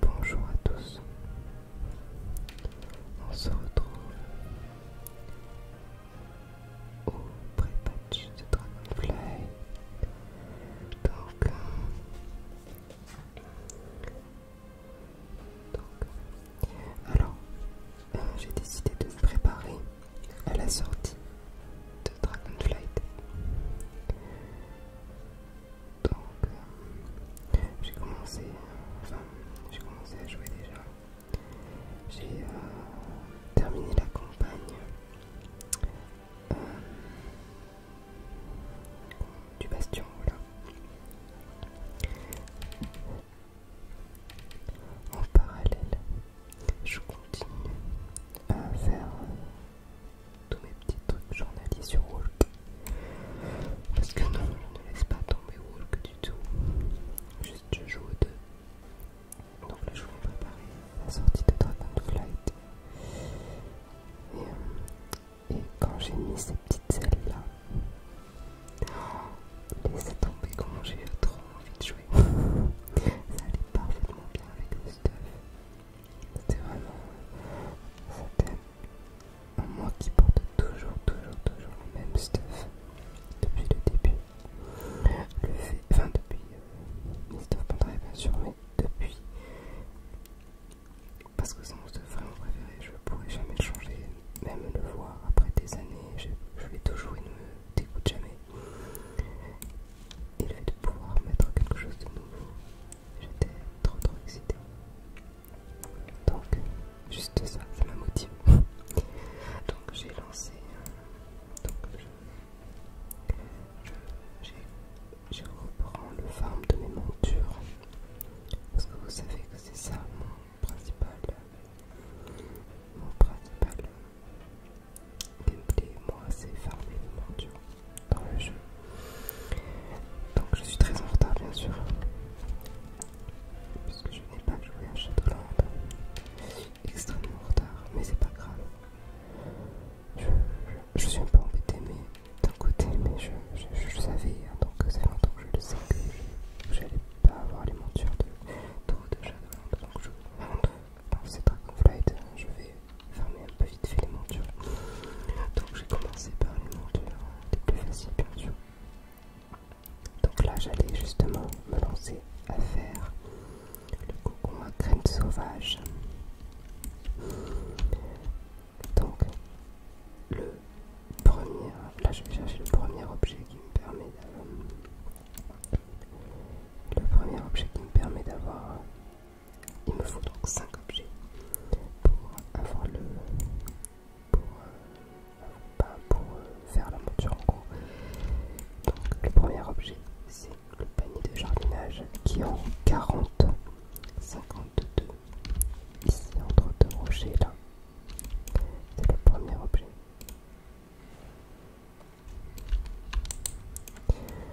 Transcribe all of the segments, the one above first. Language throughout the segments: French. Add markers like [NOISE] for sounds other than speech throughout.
Bonjour à tous. On se retrouve au pré-patch de Dragonfly. Euh, donc, alors, euh, j'ai décidé de me préparer à la sortie de Dragonflight. Donc j'ai commencé, enfin j'ai commencé à jouer déjà. J'ai euh, terminé la campagne euh, du bastion, voilà. En parallèle, je continue à faire tous mes petits trucs journaliers sur Walk. Parce que non, je ne laisse pas tomber Walk du tout. Juste je joue aux deux. Donc là je vais préparer la sortie de Dragon Flight. Euh, et, quand j'ai mis ces petites ailes là, oh, laissez tomber quand j'ai trop envie de jouer. [LAUGHS] Ça allait parfaitement bien avec le stuff. C'était vraiment. C'était moi qui porte toujours, toujours, toujours le même stuff depuis le début. Le fait, enfin depuis euh, Mist bien sûr, mais depuis parce que c'est mon stuff vraiment préféré, je pourrais jamais le changer, même le voir après des années, je, vais toujours, et ne me dégoûte jamais. Et le fait de pouvoir mettre quelque chose de nouveau J'étais trop trop excitée. Donc, juste ça, ça m'a motive [LAUGHS] donc, j'ai lancé. Euh, donc, je, reprends le farm de mes montures. Parce que vous savez que c'est ça mon principal. Mon principal gameplay moi c'est farmer les montures dans le jeu donc je suis très en retard bien sûr puisque je n'ai pas joué à Shadowlands. extrêmement en retard mais c'est pas grave je, suis un peu embêté mais d'un côté mais je, le savais hein, donc ça fait longtemps que je le sais que j'allais pas avoir les montures de Shadowlands, donc je rentre dans ces Dragonflight hein, je vais fermer un peu vite fait les montures. Donc j'ai commencé par les montures hein, les plus faciles bien sûr. Donc là j'allais justement me lancer à faire le cocon à crème sauvage. Donc le premier, là je vais chercher le premier objet qui me permet d'avoir le premier objet qui me permet d'avoir il me faut donc 5 objets pour avoir le. pour, euh, pour euh, faire la monture en gros. Donc le premier objet c'est le panier de jardinage qui est en 40, 52 ici entre deux rochers là. C'est le premier objet.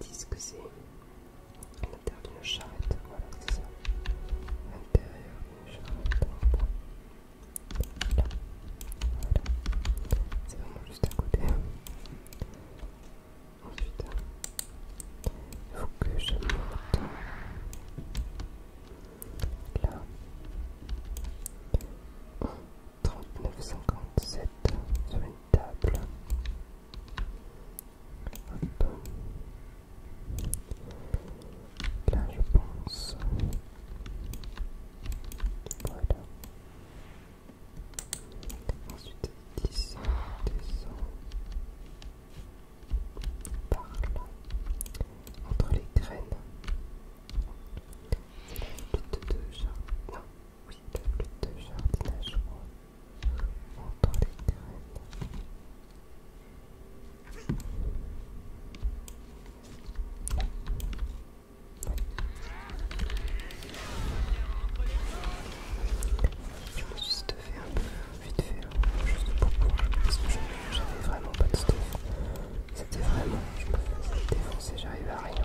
Disent que c'est à l'intérieur d'une charrette. Voilà, c'est ça. À l'intérieur d'une charrette. là, voilà. C'est vraiment juste à côté. Ensuite, il faut que je monte là. 39,57€ sur une table Là, je pense... Voilà Ensuite, 10 200 Par là Entre les graines non oui, la de jardinage entre les terrains. Je me juste fait un peu vite fait hein, juste pour pouvoir parce que j'avais vraiment pas de stuff. C'était vraiment, je me faisais défoncer, j'arrivais à rien.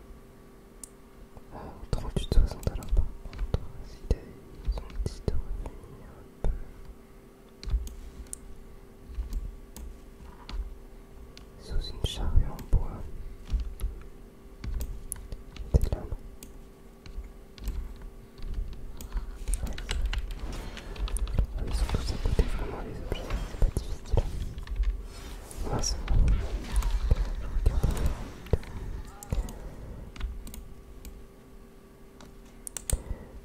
Ah, 38-60 alors par contre, s'ils ont dit de revenir un peu... Sous une charrue en bois. Des lames. Ouais. ils sont tous à côté, vraiment les objets, c'est pas difficile.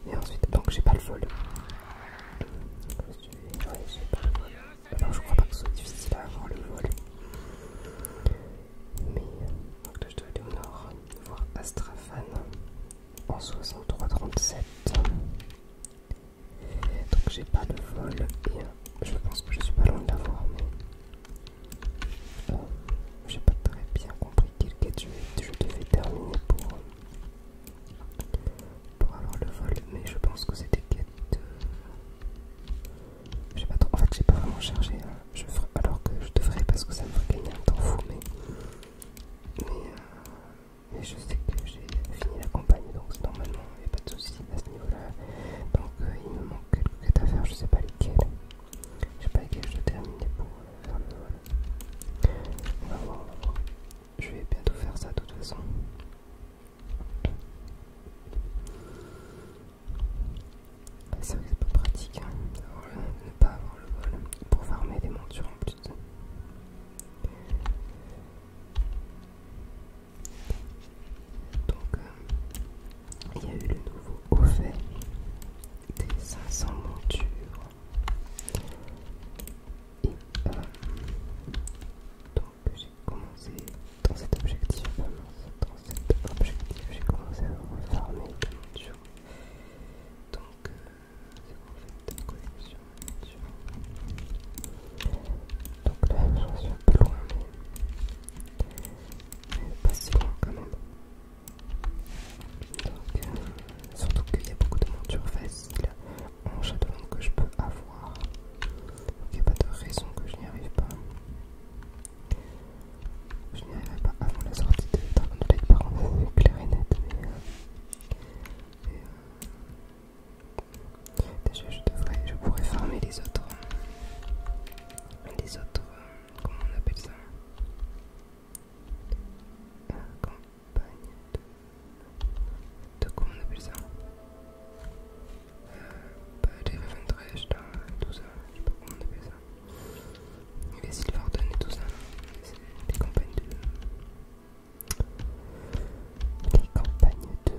Et ensuite, donc j'ai pas le vol. Alors je crois pas que ce soit difficile à avoir le vol. Mais donc là je dois aller au nord voir Astrafan en 6337. Donc j'ai pas de vol et je pense que je suis pas loin de l'avoir mais euh, j'ai pas très bien compris quelle quête Je devais terminer euh, pour, avoir le vol mais je pense que c'était quête J'ai pas trop... En fait j'ai pas vraiment chargé hein. je alors que je devrais parce que ça me ferait gagner un temps fou mais, euh, mais je sais que j'ai fini la campagne donc normalement il n'y a pas de soucis à ce niveau là donc euh, il me manque quelques quêtes à faire je sais pas lesquelles je sais pas lesquelles je dois terminer pour euh, faire le vol on va voir je vais bientôt faire ça de toute façon bah, c'est vrai que c'est pas pratique hein, de ne pas avoir le vol pour farmer des montures en plus donc, euh, il y a eu le nouveau offert des 500 montures. Et euh, donc, j'ai commencé dans cet objectif, dans cet objectif, j'ai commencé à farmer les montures. Donc, euh, c'est en fait une collection donc là, je suis un peu loin, mais, pas si loin quand même. Donc, euh, surtout qu'il y a beaucoup de montures faciles en monde que je peux avoir. Donc il n'y a pas de raison que je n'y arrive pas. Je n'y arriverai pas avant la sortie de Dragon Blade par clair et net, euh, euh, Déjà je devrais, je pourrais farmer les autres, euh, les autres, euh, comment on appelle ça euh, Campagne de, de, comment on appelle ça euh, bah, Les tout ça, je sais pas comment on appelle ça. Les Silverton et tout ça, des campagnes de les campagnes de...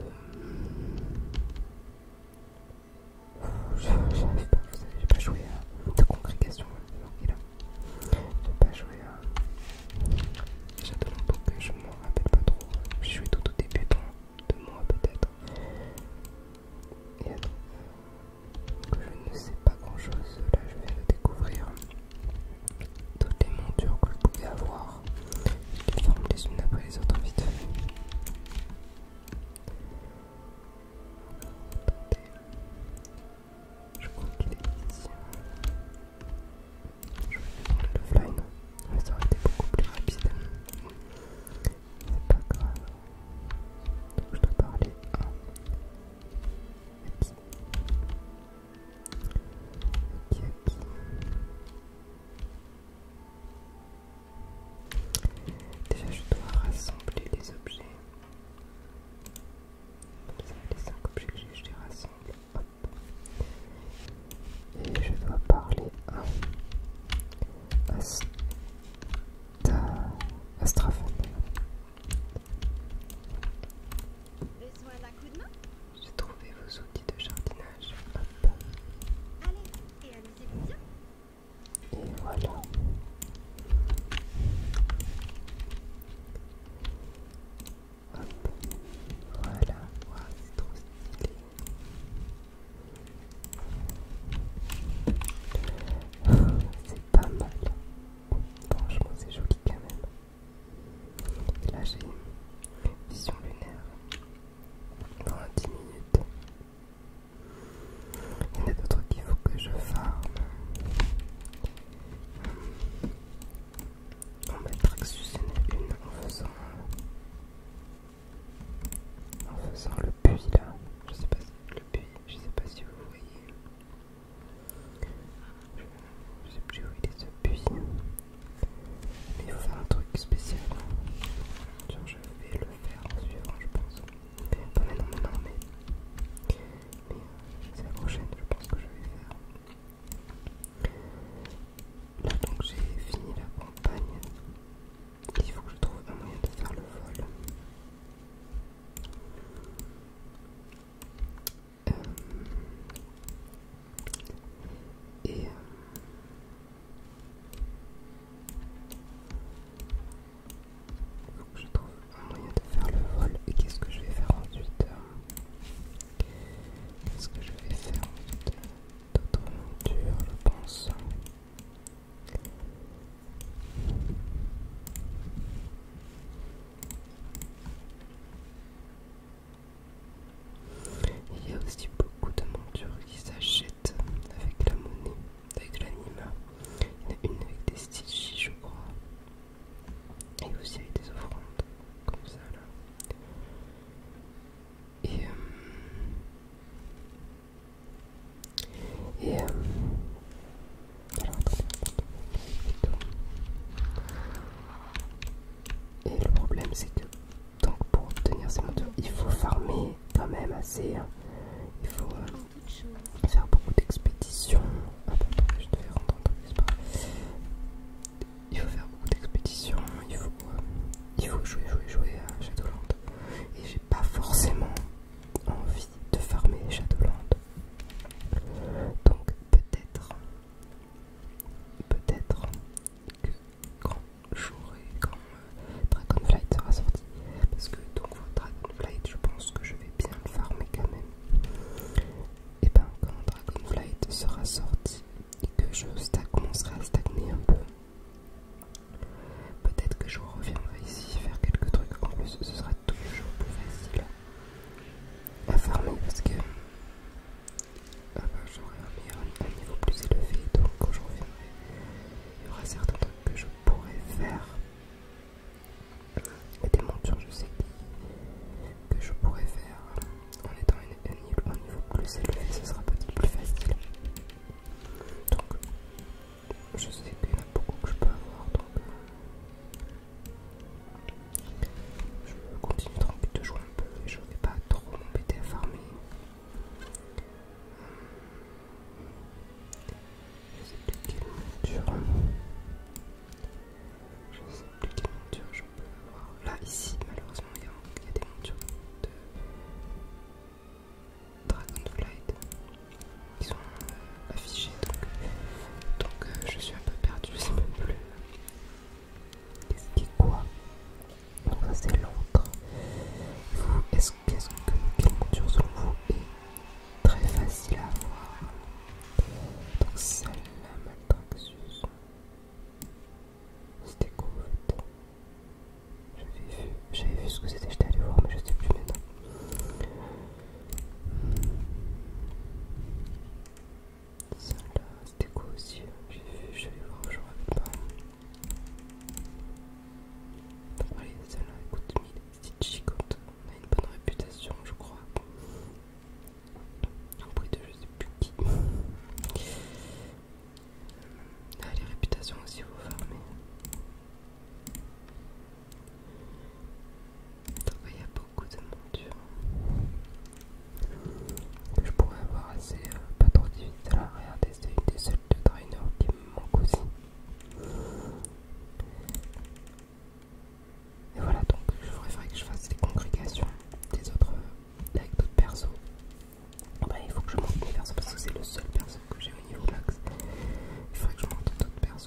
J'arrive pas, vous savez, j'ai pas joué à... de congrégation, hein, Je J'ai pas joué à... Château donc je m'en rappelle pas trop. J'ai joué tout au début de, moi, peut-être. Et attends, euh, je ne sais pas grand chose, là je viens de découvrir toutes les montures que je pouvais avoir. Je les former les unes après les autres hein, vite fait. Je crois qu'il est ici. Je vais prendre le fly, mais ça aurait été beaucoup plus rapide. C'est pas grave. Donc je dois parler à. Déjà, je dois rassembler les objets. les 5 objets que j'ai, je les rassemble. Et je dois parler à Asta... J'ai trouvé vos outils de jardinage. Hop. Allez, et allez-y bien. Et voilà. Hop. Voilà. c'est trop stylé. C'est pas mal. Franchement, c'est joli quand même là j'ai une vision lunaire dans 10 minutes. Il y en a d'autres qu'il faut que je farme. Hum. On va que une en faisant, en faisant le puits là. Je sais pas si le puits, je sais pas si vous voyez. J'ai sais plus où il est Mais il faut faire un truc spécial. je vais le faire en suivant je pense. Mais euh, c'est la prochaine je pense que je vais faire. Là donc j'ai fini la campagne. Il faut que je trouve un moyen de faire le vol et euh, je trouve un moyen de faire le vol. Et qu'est-ce que je vais faire ensuite euh, Qu'est-ce que je vais faire ensuite euh, D'autres montures, je pense. Il y a aussi beaucoup de montures qui s'achètent avec la monnaie, avec l'anima. Il y en a une avec des stitches, je crois. Et aussi avec des offrandes, comme ça là. Et, euh, et euh, et le problème c'est que donc pour obtenir ces montures il faut farmer quand même assez. Hein. Euh, ah, il faut faire beaucoup d'expéditions. Il faut faire beaucoup d'expéditions, il, faut, il faut jouer, jouer, jouer à Shadowland. Et j'ai pas forcément envie de farmer Shadowland. Donc peut-être peut-être que quand euh, Dragonflight sera sorti, parce que donc euh, Dragonflight, je pense que je vais bien le farmer quand même. Et eh ben quand Dragonflight sera sorti et que je commencerai à stagner un peu, peut-être que je reviendrai ici faire quelques trucs. En plus, ce sera toujours plus facile à farmer parce que euh, j'aurai un, niveau plus élevé donc quand je reviendrai il y aura certains trucs que je pourrais faire et des montures je sais qui, que je pourrais faire en étant un, un niveau plus élevé ce sera peut-être plus facile donc je sais qu'il y en a beaucoup que je peux avoir donc je continue continuer de jouer un peu et je ne vais pas trop m'embêter à farmer. Je sais plus quelle Je sais plus quelle monture je peux avoir. Là, ici, malheureusement, il y, a des montures de Dragonflight qui sont euh, affiché, donc, donc euh, je suis un peu perdue, je sais même plus qu'est-ce qui est quoi. Donc ça c'est l'encre. Vous, est-ce que quelle monture selon vous est très facile à avoir Donc celle-là, maltraxus C'était cool. J'avais vu, vu ce que c'était, j'étais allé voir, mais je sais plus maintenant celle là, c'était quoi aussi J'ai vu, je vais voir, je rappelle pas. Allez, celle-là, écoute, c'est chicote. On a une bonne réputation, je crois. Au prix de je sais plus qui. Ah, les réputations aussi, vous fermez. Il y a beaucoup de montures que je pourrais avoir assez euh, pas trop difficile à regarder. C'est une des seules de trainer qui me manque aussi. Et voilà donc je préférerais que je fasse les congrégations des autres euh, avec d'autres persos. Ben, il faut que je monte des persos parce que c'est le seul perso que j'ai au niveau d'axe. Il faudrait que je monte d'autres persos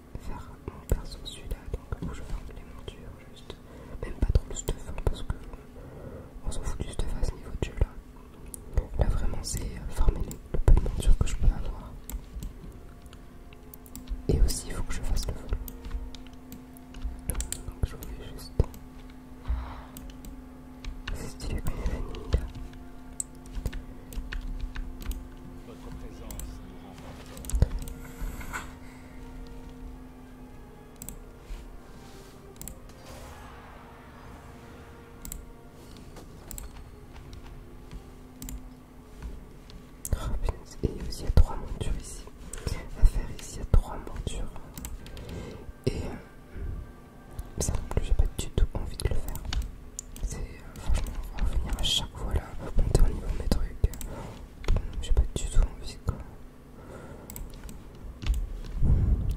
faire mon perso celui-là, donc où je ferme les montures, juste, même pas trop le stuff, hein, parce que on s'en fout du stuff à ce niveau de jeu là. Là vraiment c'est euh, farmer le peu de montures que je peux avoir. Et aussi il faut que je fasse le vol. Donc je fais juste... C'est stylé comme il y Oh, présence et il y a trois montures ici à faire. Ici, à trois montures. Et euh, ça non plus, j'ai pas du tout envie de le faire. Euh, franchement on va revenir à chaque fois là, monter au niveau de mes trucs, euh, j'ai pas du tout envie quoi.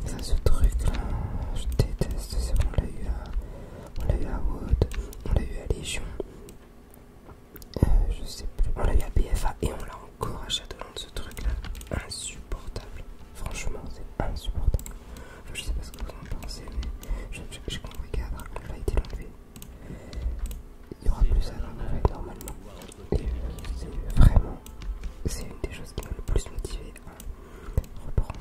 Ça ce truc là, je déteste, c'est bon on l'a eu à. On l'a eu à Wood, on l'a eu à Légion, euh, je sais plus, on l'a eu à BFA et on l'a encore à Shadowland ce truc là, insupportable, franchement c'est insupportable je sais pas ce que vous en pensez, mais j'ai compris qu'un Dragon a été enlevé. Il y aura plus à l'enlever normalement. c'est vraiment, c'est une des choses qui m'a le plus motivé à reprendre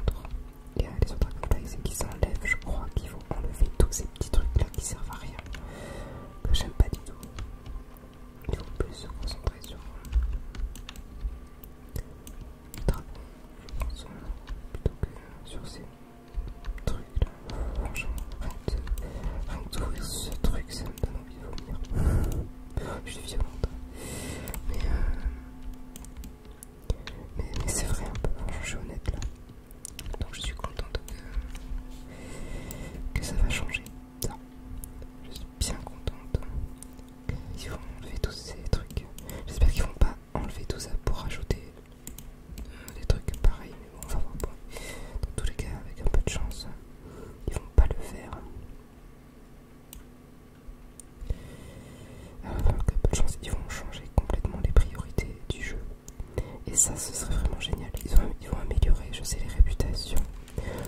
et y autres sur qui qu'ils s'enlèvent. Je crois qu'il faut enlever tous ces petits trucs là qui servent à rien, j'aime pas du tout. Il faut plus se concentrer sur je plutôt que sur ces trucs là. Franchement, rien que d'ouvrir ce truc, ça me donne envie de vomir. Je suis violente. Mais, euh, mais, c'est vrai un peu, je suis honnête là. Donc je suis contente que, ça va changer. Je suis bien contente qu'ils vont enlever tous ces trucs. J'espère qu'ils vont pas enlever tout ça pour rajouter euh, des trucs pareils, mais bon, on va voir. Dans tous les cas, avec un peu de chance, ils vont pas le faire. Alors, euh, avec un peu de chance, ils vont changer complètement les priorités du jeu. Et ça, ce serait vraiment génial. Ils vont, ils vont améliorer, je sais, les réputations.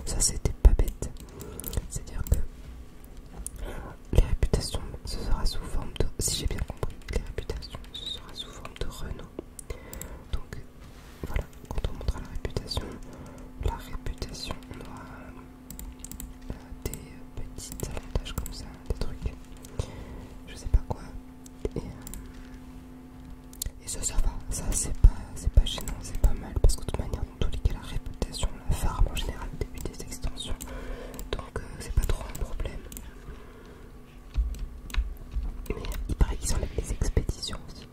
Ça, c'était pas bête. C'est-à-dire que les réputations, ce sera sous forme de... Si j'ai bien compris, les réputations, ce sera sous forme de Renault. Donc voilà, quand on montrera la réputation, la réputation, on aura euh, des petites avantages comme ça, des trucs, je sais pas quoi. Et, euh, ça, ça va, ça c'est pas, pas gênant, c'est pas mal, parce que de toute manière, dans tous les cas, la réputation, la farm en général, début des extensions, donc c'est pas trop un problème. Mais il paraît qu'ils ont les expéditions aussi.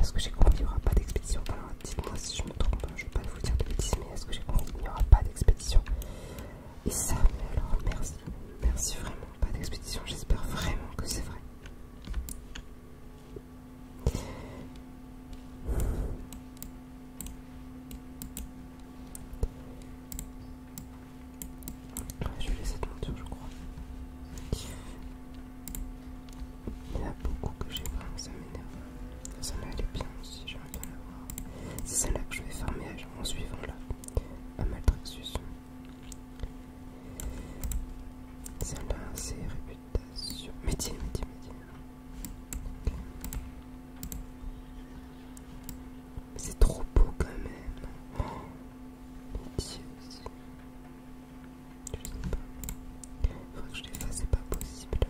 Est-ce que j'ai compris qu'il n'y aura pas d'expédition Alors dites-moi si je me trompe, hein, je vais pas vous dire de bêtises, mais est-ce que j'ai compris qu'il n'y aura pas d'expédition Et ça, mais alors merci, merci vraiment, pas d'expédition, j'espère vraiment que c'est vrai je vais laisser cette monture, je crois. Il y en a beaucoup que j'ai pris, ça m'énerve. Celle-là, elle est bien aussi, j'aimerais bien la voir. C'est celle-là que je vais farmer en suivant là, à Celle-là, c'est réputation. Médium, médium, médine. C'est trop beau quand même. Oh, mon Dieu. Je sais pas. Faudrait que je les fasse, c'est pas possible.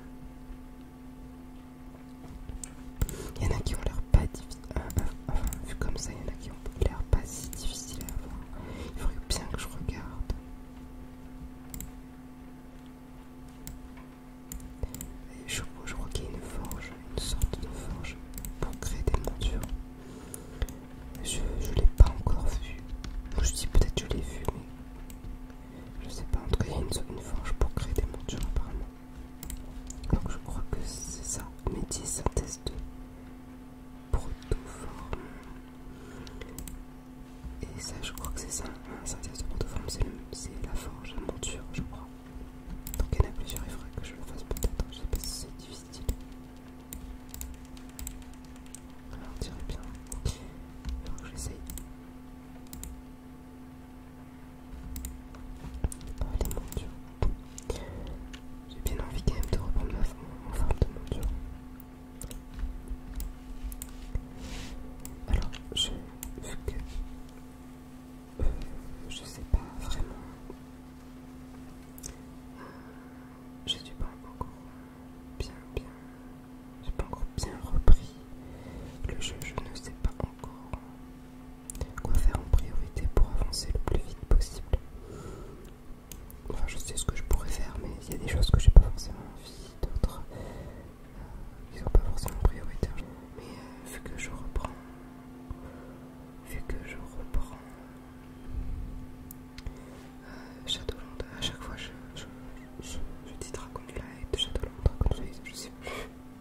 Il y en a qui ont l'air pas difficile. Euh, euh, vu comme ça, il y en a qui ont l'air pas si difficile à voir, Il faudrait bien que je regarde je, crois qu'il y a une forge, une sorte de forge pour créer des montures. Je ne l'ai pas encore vu. Je dis peut-être je l'ai vu, mais je sais pas. En tout cas, il y a une, forge pour créer des montures apparemment. Donc je crois que c'est ça. Métis synthèse de protoforme. Et ça, je crois que c'est ça. Un synthèse de protoforme, c'est la forge, la monture, je crois. Donc il y en a plusieurs, il faudrait que je le fasse peut-être. Je sais pas si c'est difficile. Alors, on dirait bien. OK. faudrait que j'essaye. Ah, les montures. J'ai bien envie quand même de reprendre ma forme, en forme de monture. Alors, je vu que euh, je sais pas vraiment. Euh, je suis pas encore bien, bien. J'ai pas encore bien repris le jeu. Je ne sais pas encore quoi faire en priorité pour avancer le plus vite possible. Enfin, je sais ce que je pourrais faire, mais il y a des choses que j'ai pas forcément envie, d'autres ils sont pas forcément prioritaires. Hein. Mais euh, vu que je reprends, vu que je reprends Château euh, Shadowland, à chaque fois je, je, je, je dis Dragon Light, Shadowland, du Light, je sais plus,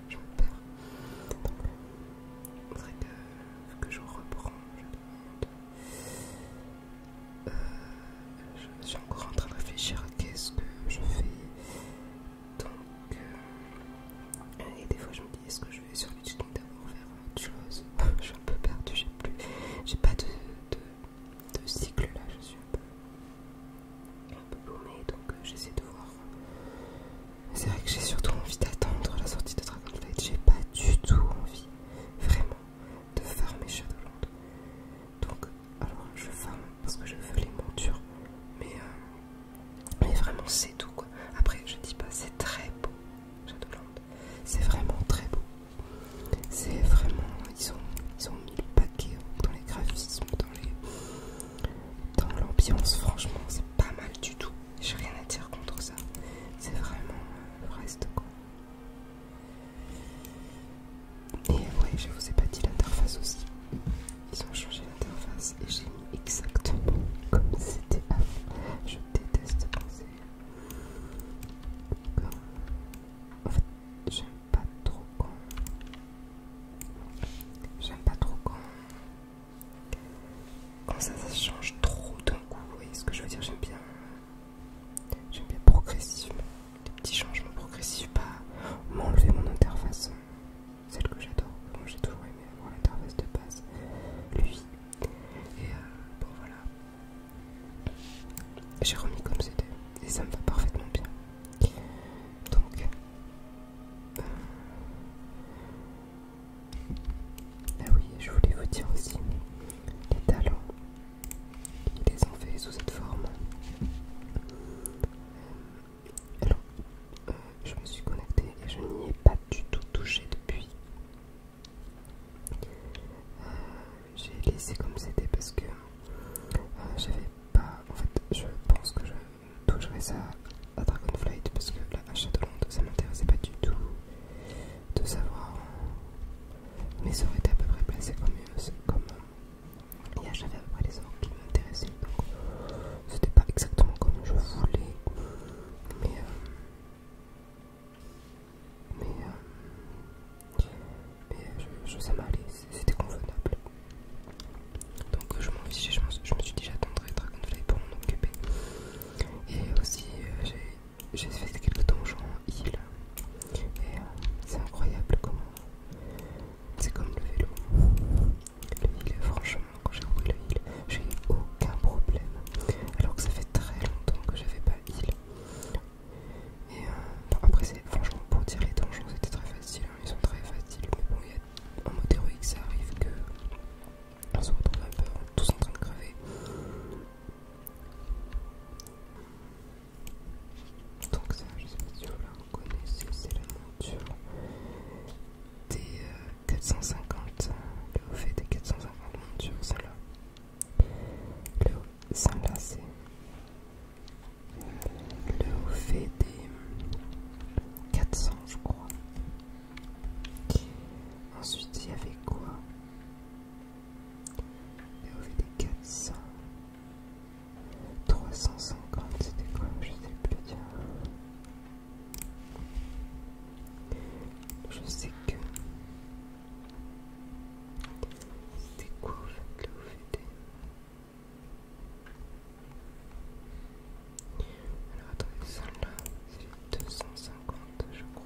j'en perds. C'est que vu que je reprends, je demande. Euh, je suis encore en train de réfléchir à qu'est-ce que je fais. Donc, euh, et des fois je me dis, est-ce que je vais sur YouTube d'abord faire autre chose [LAUGHS] Je suis un peu perdue, j'ai plus, j'ai pas de, de, cycle là, je suis un peu un donc euh, j'essaie de voir c'est vrai que j'ai surtout envie d'attendre la sortie de Dragonflight j'ai pas du tout envie vraiment de farmer Shadowland donc alors je farme parce que je veux les montures. Mais, euh, mais vraiment, c'est tout quoi. Après, je dis pas, c'est très beau, Shadowland. C'est vraiment très beau. C'est vraiment. Ils ont, mis le paquet dans les graphismes, dans l'ambiance. Dans Franchement, c'est pas mal du tout. J'ai rien à dire contre ça. C'est vraiment euh, le reste quoi. Et oui, je vous ai pas dit l'interface aussi. Ils ont changé l'interface et j'ai mis exactement comme c'était avant. Je déteste penser. En fait, j'aime pas trop quand. J'aime pas trop quand. Quand ça, ça change trop d'un coup. Vous voyez ce que je veux dire J'aime bien. J'aime bien progressivement des petits changements progressifs, pas m'enlever mon interface, celle que j'adore, j'ai toujours aimé avoir l'interface de base, lui. Et euh, bon voilà, j'ai remis comme c'était et ça me va parfaitement bien. Donc, euh, ah oui, je voulais vous dire aussi les talents il sous cette forme. Euh, alors, euh, je me suis connecté et je n'y ai pas du tout touché depuis. Euh, j'ai laissé comme c'était parce que j'avais pas. En fait, je pense que je toucherai ça à Dragonflight parce que la monde ça m'intéressait pas du tout de savoir. Mais ça aurait été à peu près placé comme, comme et j'avais à peu près les ordres qui m'intéressaient, donc c'était pas exactement comme je voulais, mais. Euh, mais, euh, euh, je, je, ça c'était convenable. Donc je m'en fichais, je, me suis dit j'attendrai Dragonfly pour m'en occuper. Et aussi j'ai fait quelques donjons en Et c'est incroyable comment c'est comme le vélo. Le heal, franchement, quand j'ai roulé le heal, j'ai eu aucun problème. Alors que ça fait très longtemps que j'avais pas heal. Et euh, franchement, pour dire les donjons, c'était très facile. Hein. ils sont très faciles, mais bon, il mode héroïque, ça arrive que on se retrouve un peu tous en train de crever. Donc ça, je sais pas si vous la reconnaissez, c'est la monture des 450, euh, euh, le euh, fait des 450 monture, celle-là. Le celle-là, c'est le fait des 400, je crois. Ensuite, il y avait quoi Le fait des 400. 350 c'était quoi je sais plus dire, je sais que c'était quoi faites le faites alors attendez celle là c'est 250 je crois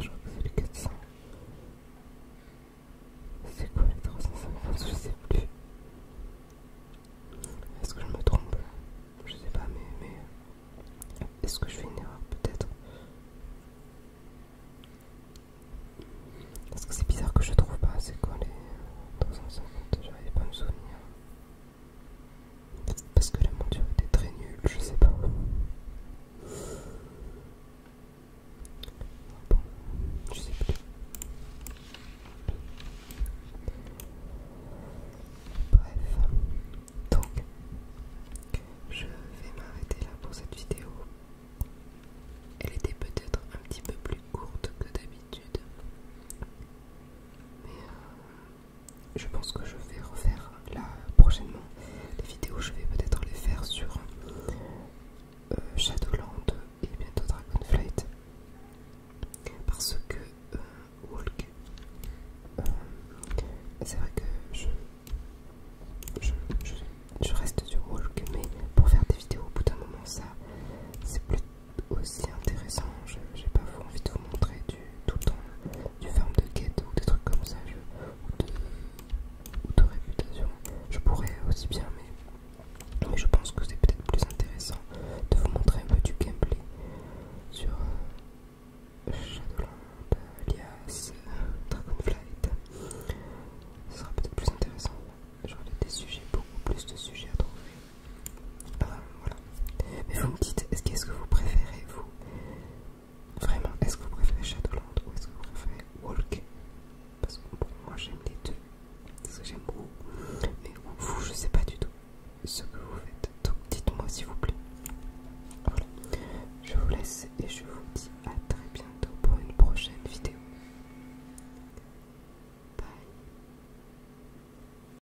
Je crois que c'est les 400. C'est quoi les 350 Je sais plus. Est-ce que je me trompe Je sais pas, mais. Est-ce que je fais une erreur peut-être Parce que c'est bizarre que je trouve pas, c'est quoi les 350 J'arrive pas à me souvenir. Parce que la monture était très nulle, je sais pas. Bon, je sais plus. Bref, donc je vais m'arrêter là pour cette vidéo. Elle était peut-être un petit peu plus courte que d'habitude. Mais euh, je pense que je vais refaire là prochainement les vidéos. Je vais peut-être les faire sur euh, Shadowland et bientôt Dragonflight parce que euh, Walk, euh, c'est vrai que je reste sur Walk, mais pour faire des vidéos au bout d'un moment, ça c'est plutôt aussi intéressant. J'ai pas envie de vous montrer du tout temps du ferme de quête ou des trucs comme ça, ou, de, réputation. Je pourrais aussi bien, mais, je pense que c'est peut-être plus intéressant de vous montrer un peu du gameplay sur euh, Shadowlands, alias Dragonflight. Ce sera peut-être plus intéressant. J'aurai des sujets, beaucoup plus de sujets à trouver mais vous me dites, est-ce que vous préférez, vous Vraiment, est-ce que vous préférez Shadowland ou est-ce que vous préférez Walk Parce que moi j'aime les deux. Parce que j'aime beaucoup. Mais vous, je sais pas du tout ce que vous faites. Donc dites-moi s'il vous plaît. Voilà. Je vous laisse et je vous dis à très bientôt pour une prochaine vidéo. Bye.